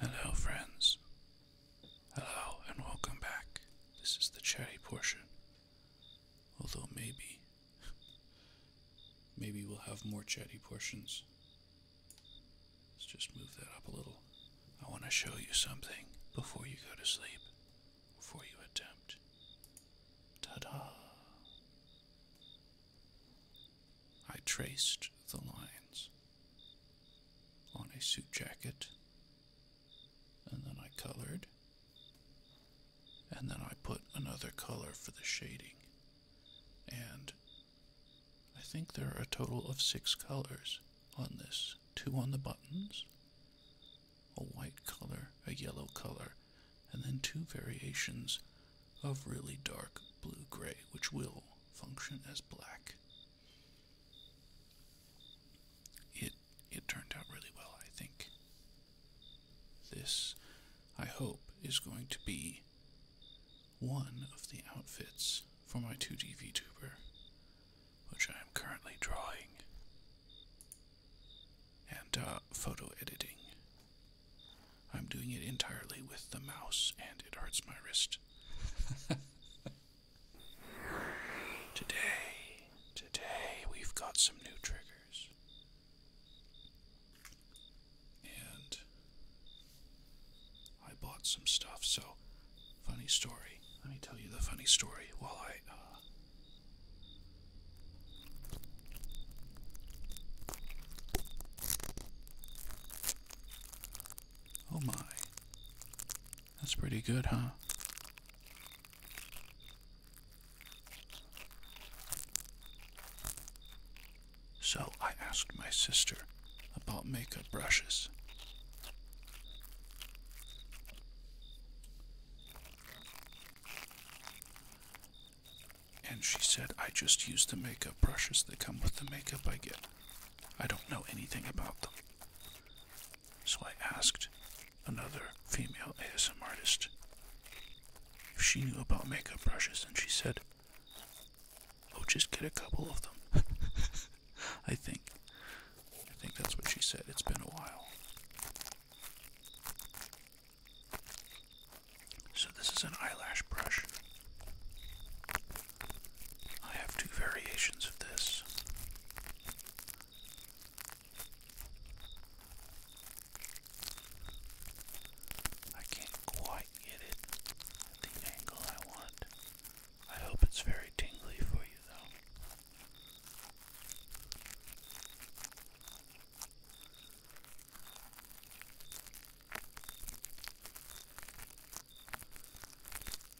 Hello, friends. Hello, and welcome back. This is the chatty portion. Although, maybe. Maybe we'll have more chatty portions. Let's just move that up a little. I want to show you something before you go to sleep, before you attempt. Ta da! I traced the lines on a suit jacket, and then I colored, and then I put another color for the shading. And I think there are a total of six colors on this two on the buttons, a white color, a yellow color, and then two variations of really dark blue gray, which will function as black. It it turned out really well, I think. This, I hope, is going to be one of the outfits for my 2D VTuber, which I am currently drawing and uh, photo editing. I'm doing it entirely with the mouse, and it hurts my wrist. today, today we've got some new triggers. And I bought some stuff, so funny story. Let me tell you the funny story while I. Uh, Oh my. That's pretty good, huh? So I asked my sister about makeup brushes. And she said, I just use the makeup brushes that come with the makeup I get. I don't know anything about them. So I asked another female ASM artist if she knew about makeup brushes, and she said, Oh, just get a couple of them. I think. I think that's what she said. It's been a while. So, this is an eyelash brush. I have two variations of this. I can't quite get it at the angle I want. I hope it's very tingly for you, though.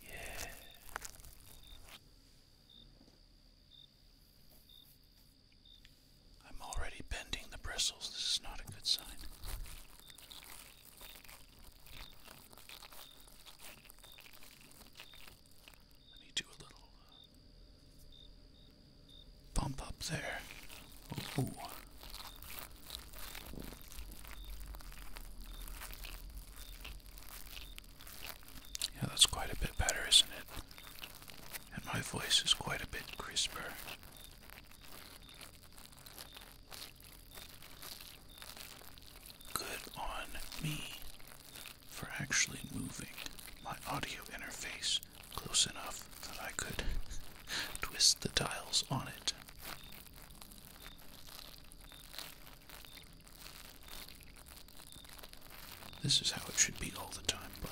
Yeah. I'm already bending the bristles. This is not a good sign. Let me do a little uh, bump up there. Yeah, that's quite a bit better, isn't it? And my voice is quite a bit crisper. Good on me for actually moving my audio interface close enough that I could twist the tiles on it. This is how it should be all the time, but.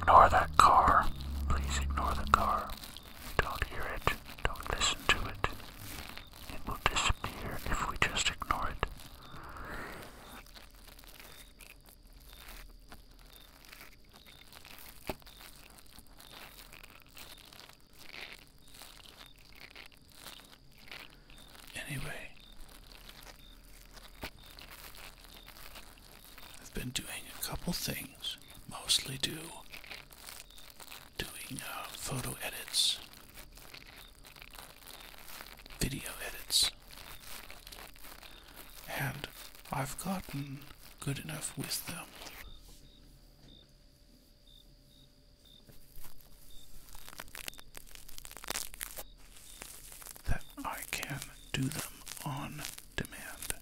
Ignore that car. Please ignore the car. Don't hear it. Don't listen to it. It will disappear if we just ignore it. Anyway, I've been doing a couple things, mostly do doing uh, photo edits, video edits and I've gotten good enough with them. That I can do them on demand.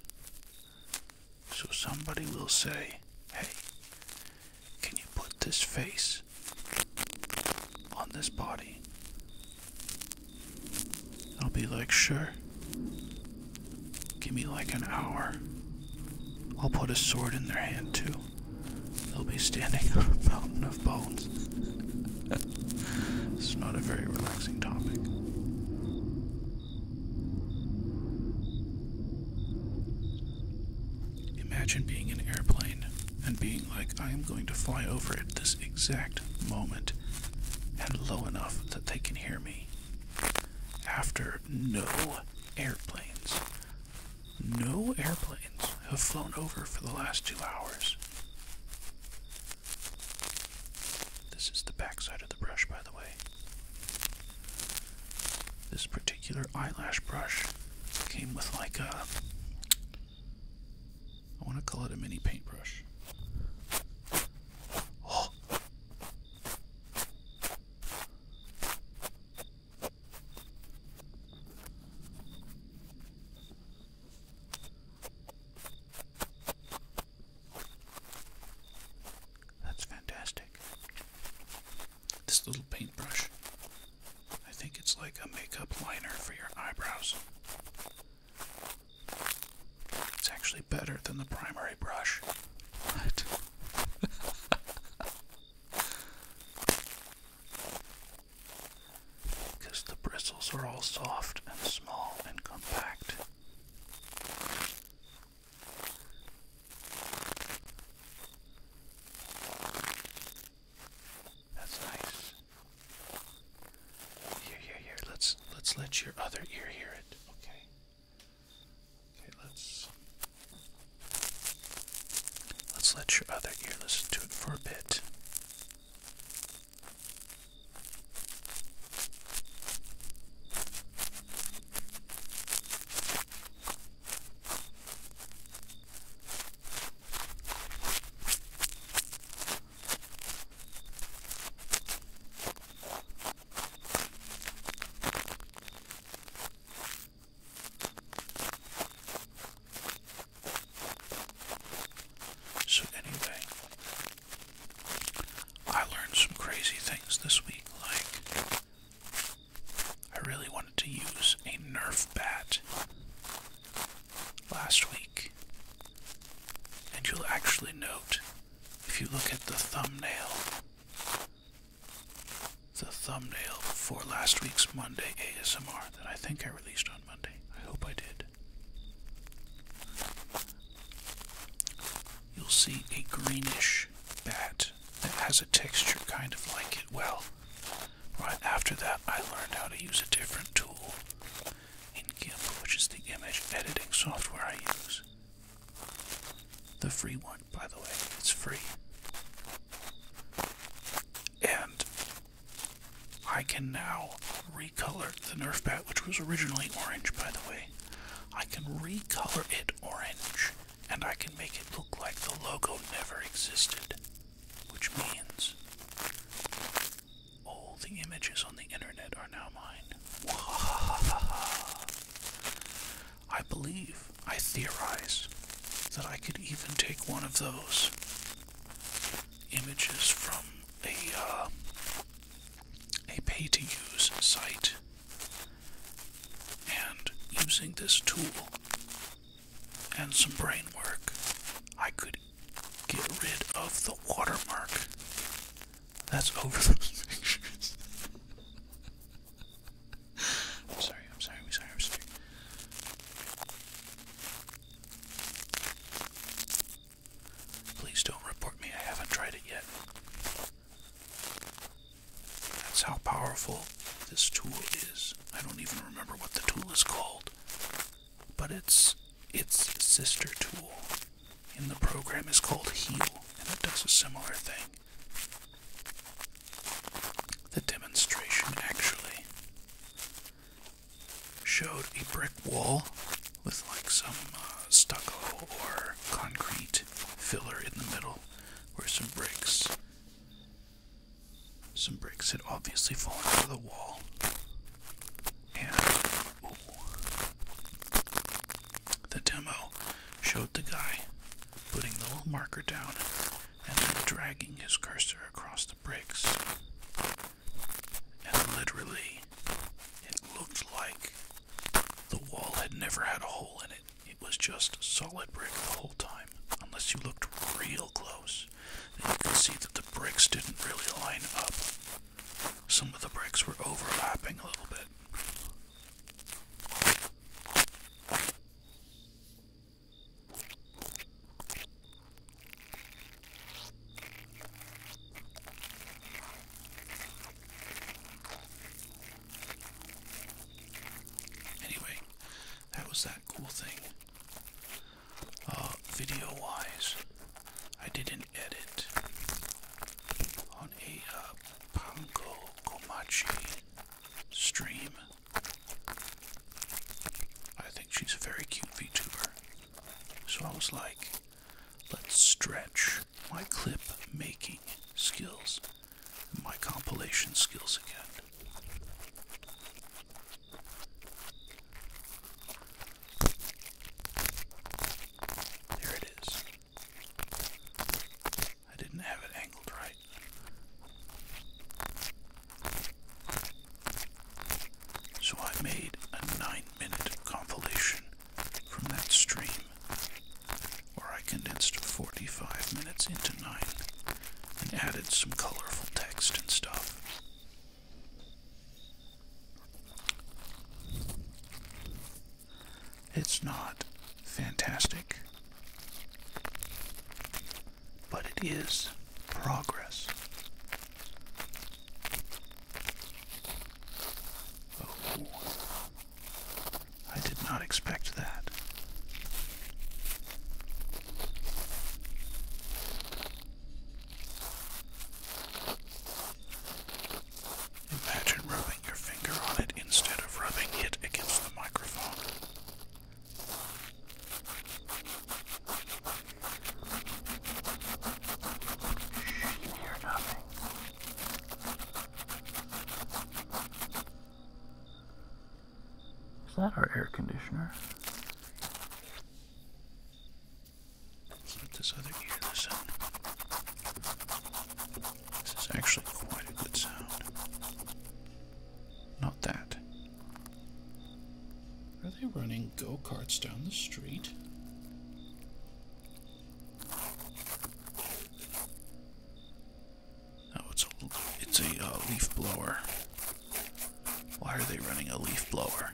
So somebody will say, hey, can you put this face on this body? I'll be like, sure. Give me like an hour. I'll put a sword in their hand too. They'll be standing on a mountain of bones. this is not a very relaxing topic. Imagine being an airplane and being like, I am going to fly over at this exact moment and low enough that they can hear me. After no airplanes, no airplanes have flown over for the last two hours. This is the backside of the brush, by the way. This particular eyelash brush came with like a I want to call it a mini paintbrush. Oh. That's fantastic. This little paintbrush. I think it's like a makeup liner for your eyebrows. It's actually better than the primary brush. What? Because the bristles are all soft and small and compact. That's nice. Here, here, here. Let's let's let your other ear hear it. Okay. Okay, let's let's let your other ear listen to it for a bit. So, anyway, I learned some crazy things this week. Like, I really wanted to use a Nerf bat last week, and you'll actually note, if you look at the thumbnail, the thumbnail for last week's Monday ASMR that I think I released on Monday. I hope I did. You'll see a greenish bat that has a texture kind of like it. Well, right after that, I learned how to use a different tool in which is the image editing software I use. The free one, by the way, it's free. And I can now recolor the Nerf bat, which was originally orange, by the way. I can recolor it orange, and I can make it look like the logo never existed, which means all the images on the internet are now mine. I believe, I theorize, that I could even take one of those images from a, uh, a pay-to-use site and using this tool and some brain work, I could get rid of the watermark that's over those pictures. I'm sorry, I'm sorry, I'm sorry, Please don't report me, I haven't tried it yet. That's how powerful this tool is. I don't even remember what the tool is called but it's its sister tool in the program is called Heal, and it does a similar thing. The demonstration actually showed a brick wall with like some uh, stucco or concrete filler in the middle where some bricks some bricks had obviously fallen out of the wall and the demo showed the guy putting the little marker down and then dragging his cursor across the bricks. And literally, it looked like the wall had never had a hole in it. It was just solid brick the whole time, unless you looked real close. Then you could see that the bricks didn't really line up. Some of the bricks were overlapping a little bit. Anyway, that was that cool thing. Uh, video wise. I did not edit on a uh, Panko Komachi stream. I think she's a very cute VTuber. So I was like, let's stretch my clip making skills, my compilation skills again. There it is. I didn't have it angled right. So I made a nine minute compilation from that stream, where I condensed 45 minutes into nine and added some colorful text and stuff. It's not fantastic, but it is progress. Oh, I did not expect that. Imagine rubbing your finger on it instead of rubbing it against the microphone. Shh, you hear nothing. Is that our air conditioner? let this other ear this This is actually quite a good sound. Not that. Are they running go-karts down the street? Oh, it's a, uh, leaf blower. Why are they running a leaf blower?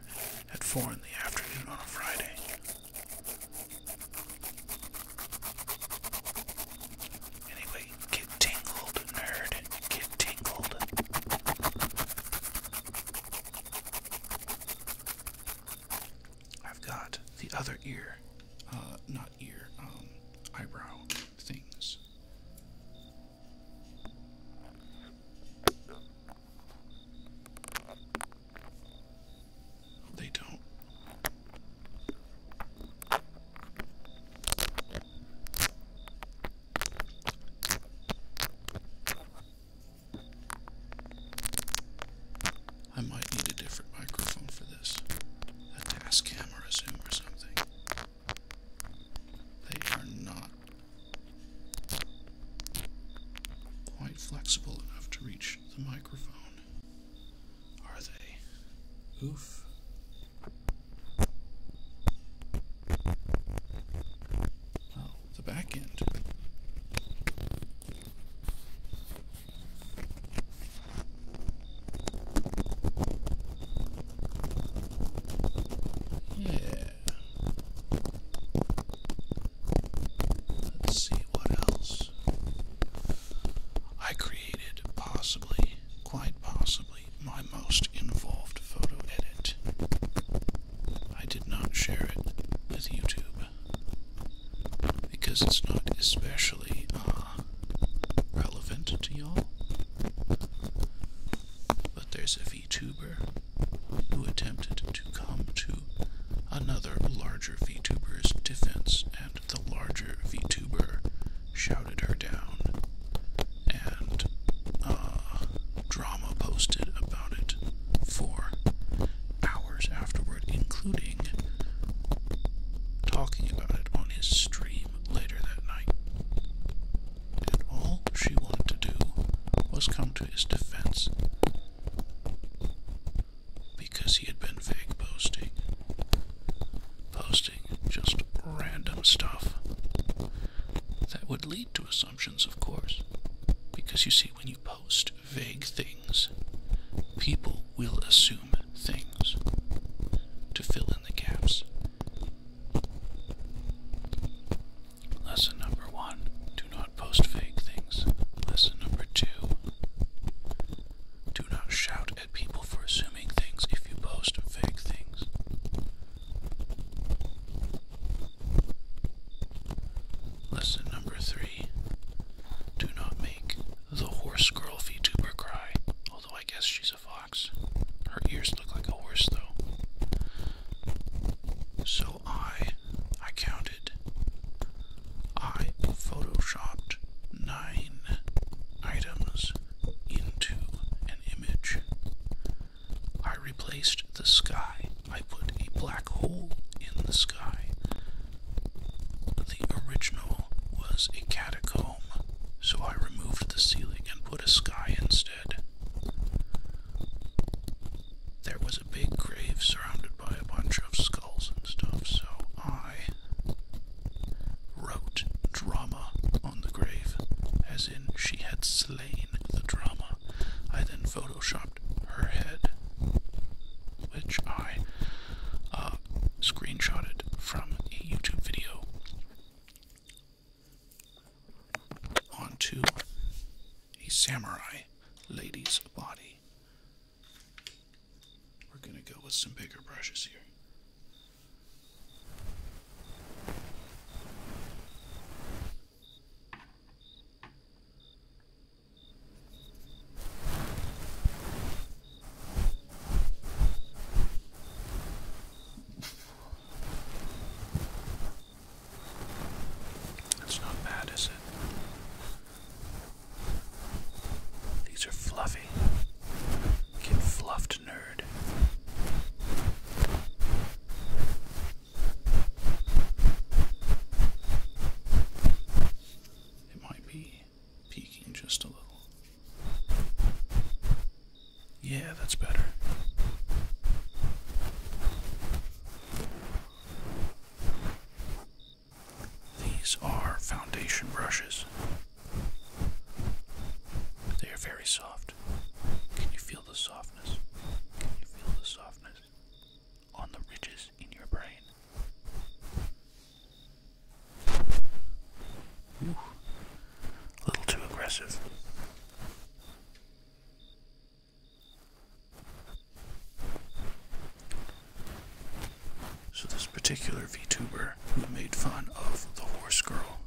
at 4 in the afternoon on a Friday. Anyway, get tingled, nerd. Get tingled. I've got the other ear, uh, not ear, um, eyebrow things. They don't. I might need a different microphone for this. A task camera zoom or something. They are not quite flexible enough to reach the microphone. Are they? Oof. Oh, the back end. Yeah. Let's see what else. I created possibly, quite possibly, my most involved photo edit. I did not share it with YouTube because it's not especially uh, relevant to y'all. But there's a VTuber who attempted to come to another larger VTuber's defense, and the larger VTuber shouted her down, and uh, drama posted about it for hours afterward, including talking about it on his stream later that night. And all she wanted to do was come to his defense because he had been fake posting, posting just random stuff that would lead to assumptions, of course. Because you see, when you post vague things, people will assume things to fill in the gaps. Lesson number one do not post fake things. Lesson number two do not shout at people for assuming things if you post fake things. Lesson number three do not make the horse girl VTuber cry, although I guess she's a fox. Her ears look like a horse, though. So I, I counted, I photoshopped nine items into an image. I replaced the sky. I put a black hole in the sky. The original was a catacomb, so I removed the ceiling and put a sky instead there was a big grave surrounded by a bunch of skulls and stuff, so I wrote drama on the grave, as in she had slain the drama. I then photoshopped her head, which I uh, screenshotted from a YouTube video onto a samurai lady's body. We're going to go with some bigger brushes here. That's not bad, is it? These are fluffy. Get fluffed, nerd. It might be peeking just a little. Yeah, that's better. These are foundation brushes. They are very soft. Can you feel the softness? Can you feel the softness on the ridges in your brain? Ooh. A little too aggressive. So, this particular VTuber who made fun of the horse girl,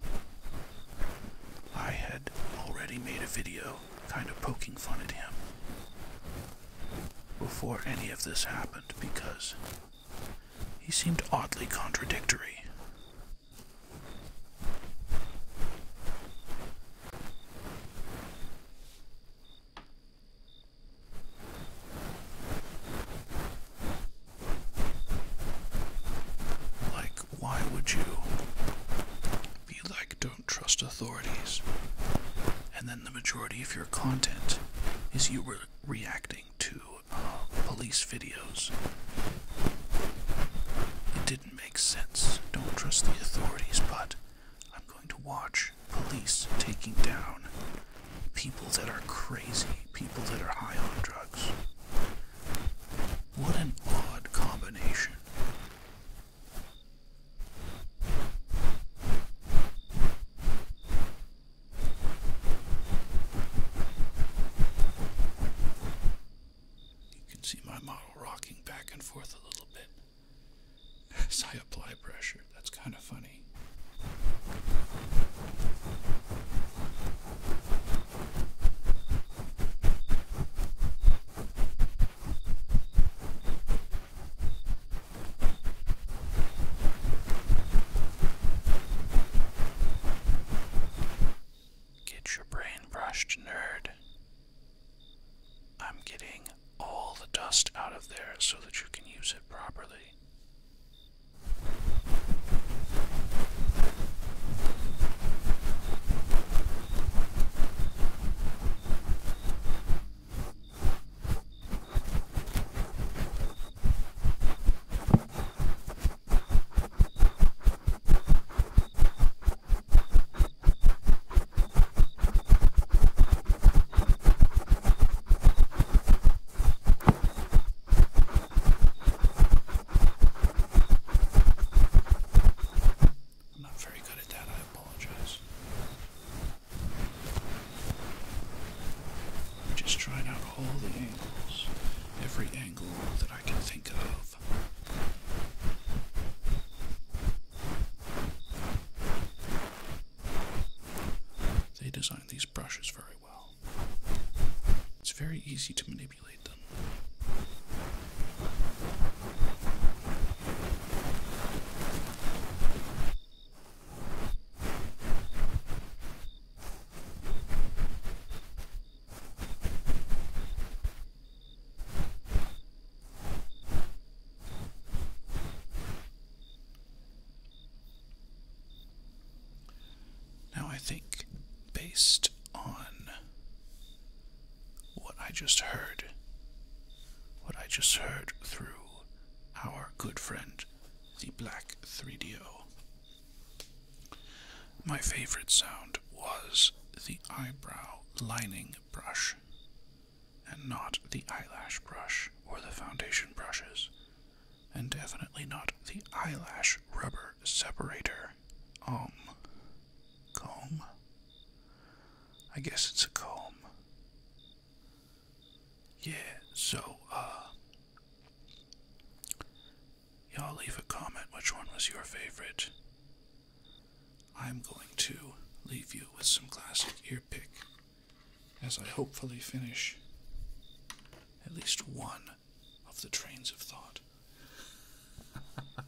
I had already made a video kind of poking fun at him before any of this happened because he seemed oddly contradictory. Like, why would you be like, don't trust authorities? And then the majority of your content is you re reacting to uh, police videos. It didn't make sense. Don't trust the authorities, but I'm going to watch police taking down people that are crazy, people that are high on drugs. What an odd combination. You can see my model rocking back and forth a little bit. As I apply pressure, that's kind of funny. Get your brain brushed, nerd. I'm getting all the dust out of there so that you can use it properly. I'm not very good at that, I apologize. I'm just trying out all the angles, every angle that I can think of. They designed these brushes very well. It's very easy to manipulate them. Now, I think based on what I just heard, what I just heard through our good friend, the Black 3DO, my favorite sound was the eyebrow lining brush and not the eyelash brush or the foundation brushes, and definitely not the eyelash rubber separator. Um, comb? I guess it's a comb. Yeah, so, uh, y'all leave a comment which one was your favorite. I'm going to leave you with some classic earpick, as I hopefully finish at least one of the trains of thought.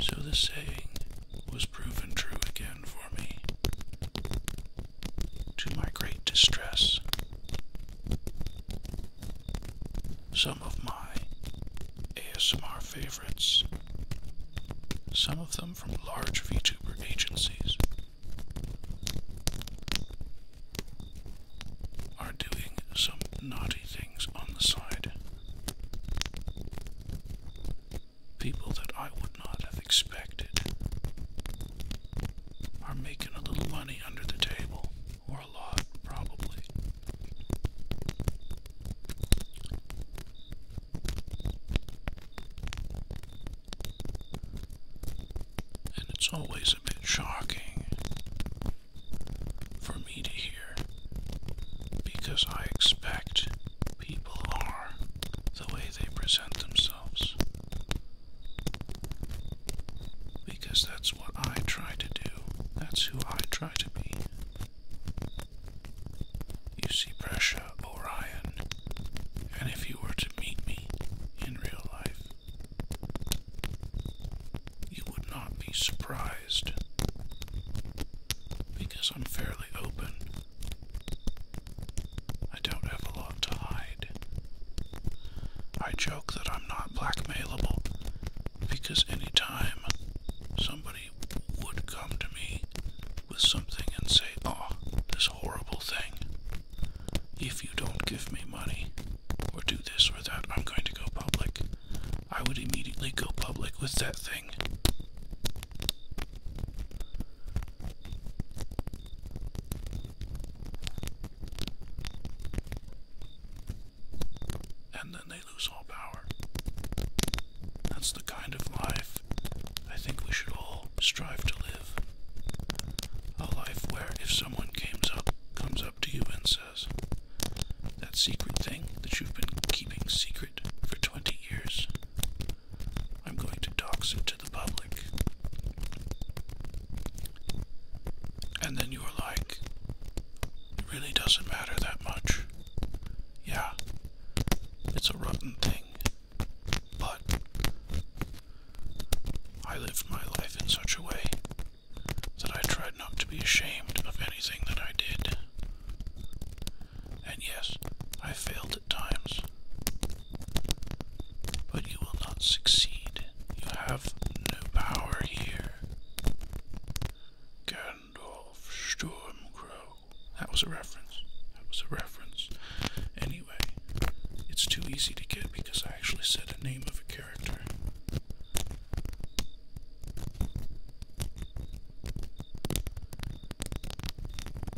so the saying was proven true again for me to my great distress. Some of my ASMR favorites, some of them from large VTuber agencies, are doing some naughty things on the side. People that I would not have expected are making a little money under the table, or a lot, probably. And it's always a bit shocking for me to hear because I expect people are the way they present themselves because that's what I try to do. That's who I try to be. You see Brescia Orion, and if you were to meet me in real life, you would not be surprised. Because I'm fairly open I don't have a to hide. I joke that I'm not blackmailable because any time somebody would come to me with something and say, Oh, this horrible thing, if you don't give me money or do this or that, I'm going to go public. I would immediately go public with that thing. And then they lose all power. That's the kind of life I think we should all strive to live. A life where if someone comes up, comes up to you and says, that secret thing that you've been keeping secret for 20 years, I'm going to talk to the public. And then you are like, it really doesn't matter that much. Yeah, it's a rotten thing, but I lived my life in such a way that I tried not to be ashamed of anything that I did. And yes, I failed times. But you will not succeed. You have no power here. Gandalf Stormcrow. That was a reference. That was a reference. Anyway, it's too easy to get because I actually said the name of a character.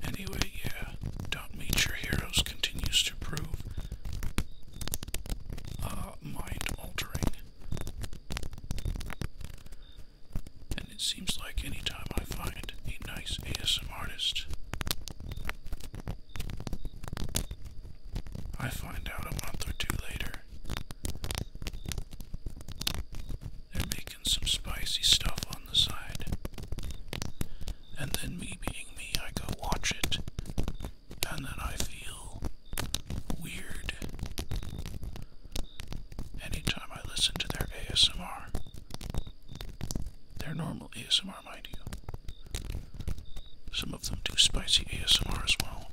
Anyway, yeah, Meet Your Heroes continues to prove uh, mind altering. And it seems like anytime I find a nice ASM artist, I find out a month or two later they're making some spicy stuff on the side and then me being me, I go watch it, and then I feel weird anytime I listen to their ASMR. Their normal ASMR, mind you. Some of them do spicy ASMR as well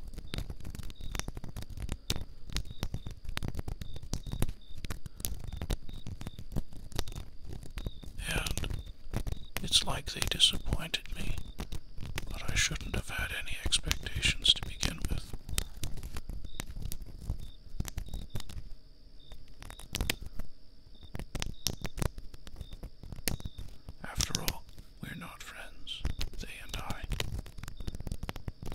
and it's like they disappointed me, but I shouldn't have had any expectations to begin with. After all, we're not friends, they and I.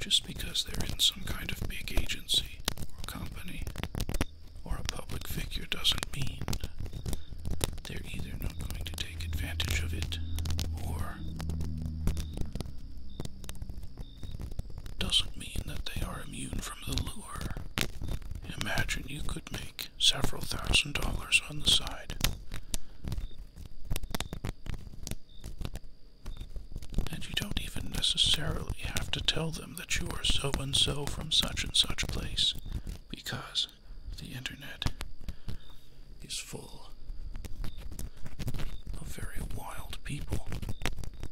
Just because they're in some kind of big agency or company or a public figure doesn't mean they're either not going to take advantage of it or doesn't mean that they are immune from the lure. Imagine you could make several thousand dollars on the side and you don't even necessarily have to tell them that you are so and so from such and such place, because the internet is full of very wild people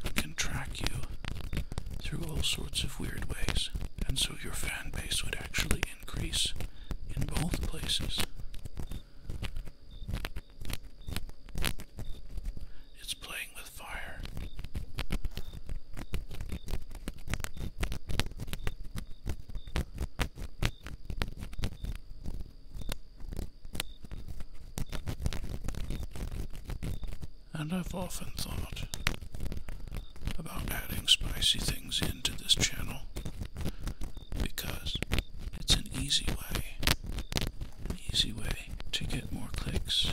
who can track you through all sorts of weird ways, and so your fan base would actually increase in both places. It's playing with fire. And I've often thought about adding spicy things into this channel because it's an easy way, an easy way to get more clicks.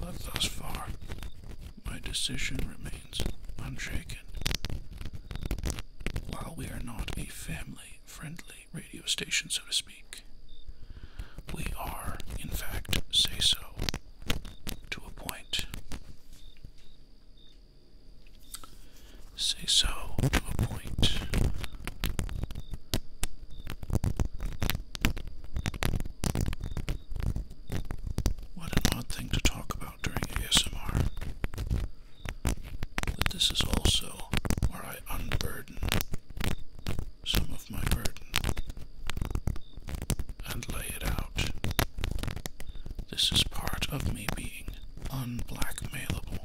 But thus far, my decision remains unshaken. While we are not a family friendly radio station, so to speak, we are, in fact, say so to a point say so to a point. What an odd thing to talk about during ASMR. But this is also where I unburden some of my burden and lay it out. This is part of me being unblackmailable.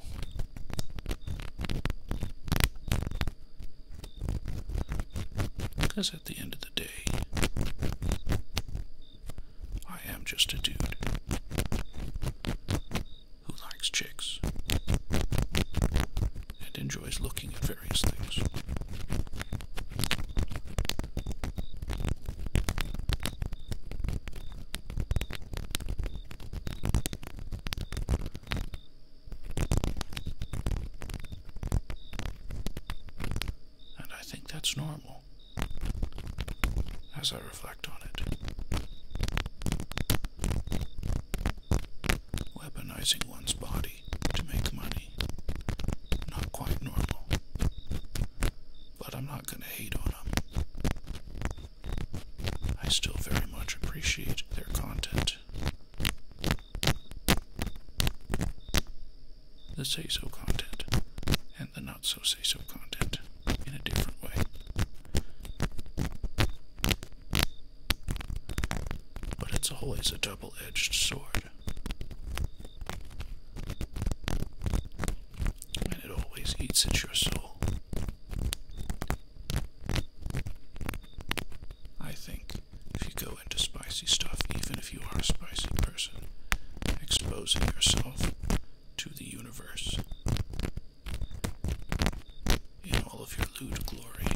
Because at the end of the day, I am just a dude who likes chicks and enjoys looking at various things. And I think that's normal as I reflect on it. Weaponizing one's body to make money. Not quite normal. But I'm not going to hate on I still very much appreciate their content. The say so content and the not so say so content in a different way. But it's always a double edged sword. And it always eats at your soul. I think if you go into spicy stuff, even if you are a spicy person, exposing yourself to the universe in all of your lewd glory,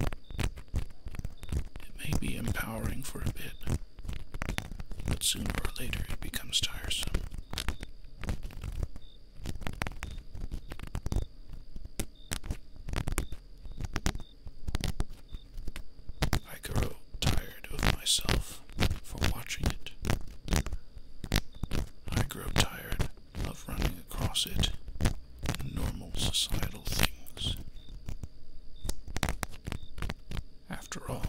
it may be empowering for a bit, but sooner or later it becomes tiresome. I grow tired of myself for watching it. I grow tired of running across it normal societal things. After all,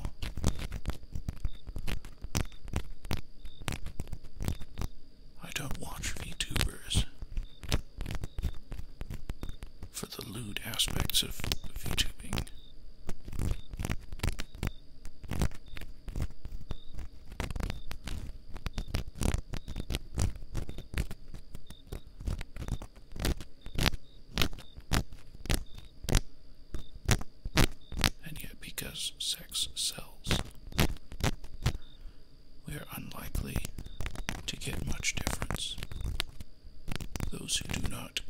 I don't watch VTubers for the lewd aspects of VTubing. And yet, because cells. We are unlikely to get much difference. Those who do not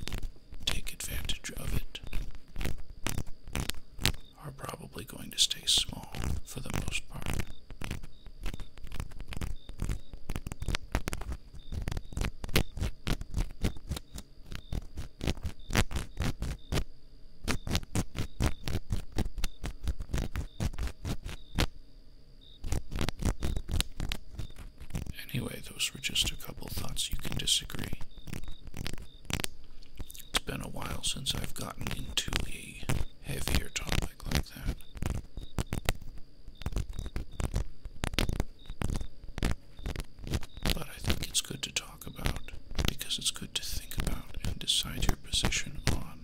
take advantage of it are probably going to stay small for the most part. Anyway, those were just a couple thoughts you can disagree. It's been a while since I've gotten into a heavier topic like that. But I think it's good to talk talk about because it's good to think about and decide your position on.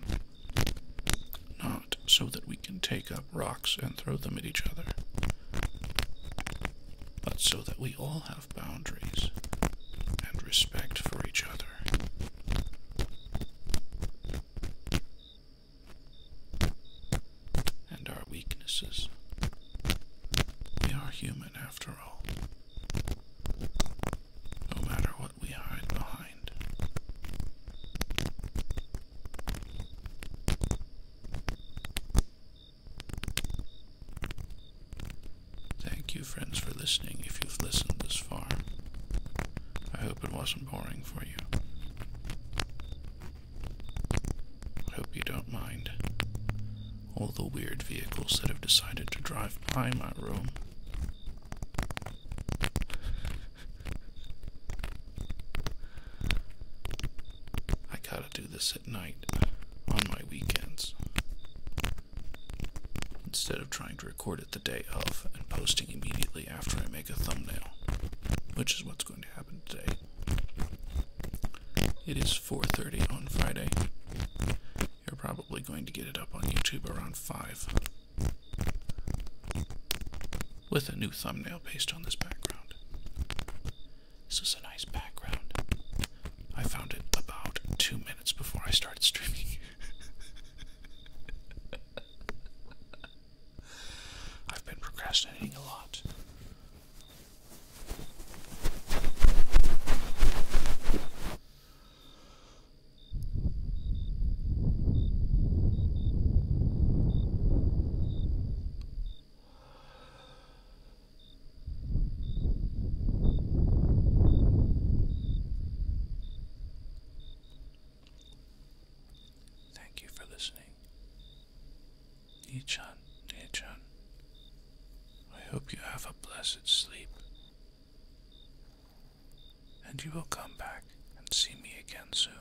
Not so that we can take up rocks and throw them at each other, but so that we all have boundaries and respect for each other. And our weaknesses. We are human after all no matter what we hide behind. Thank you, friends, for listening if you've listened this far. I hope it wasn't boring for you. I hope you don't mind all the weird vehicles that have decided to drive by my room. I gotta do this at night, on my weekends, instead of trying to record it the day of and posting immediately after I make a thumbnail, which is what's going to happen today. It is 4:30 on Friday, you're probably going to get it up on YouTube around 5 with a new thumbnail based on this background. This is a nice background. I found it about two minutes before I started streaming. I've been procrastinating a lot. Thank you for listening. Nichan, Nichan, I hope you have a blessed sleep. And you will come back and see me again soon.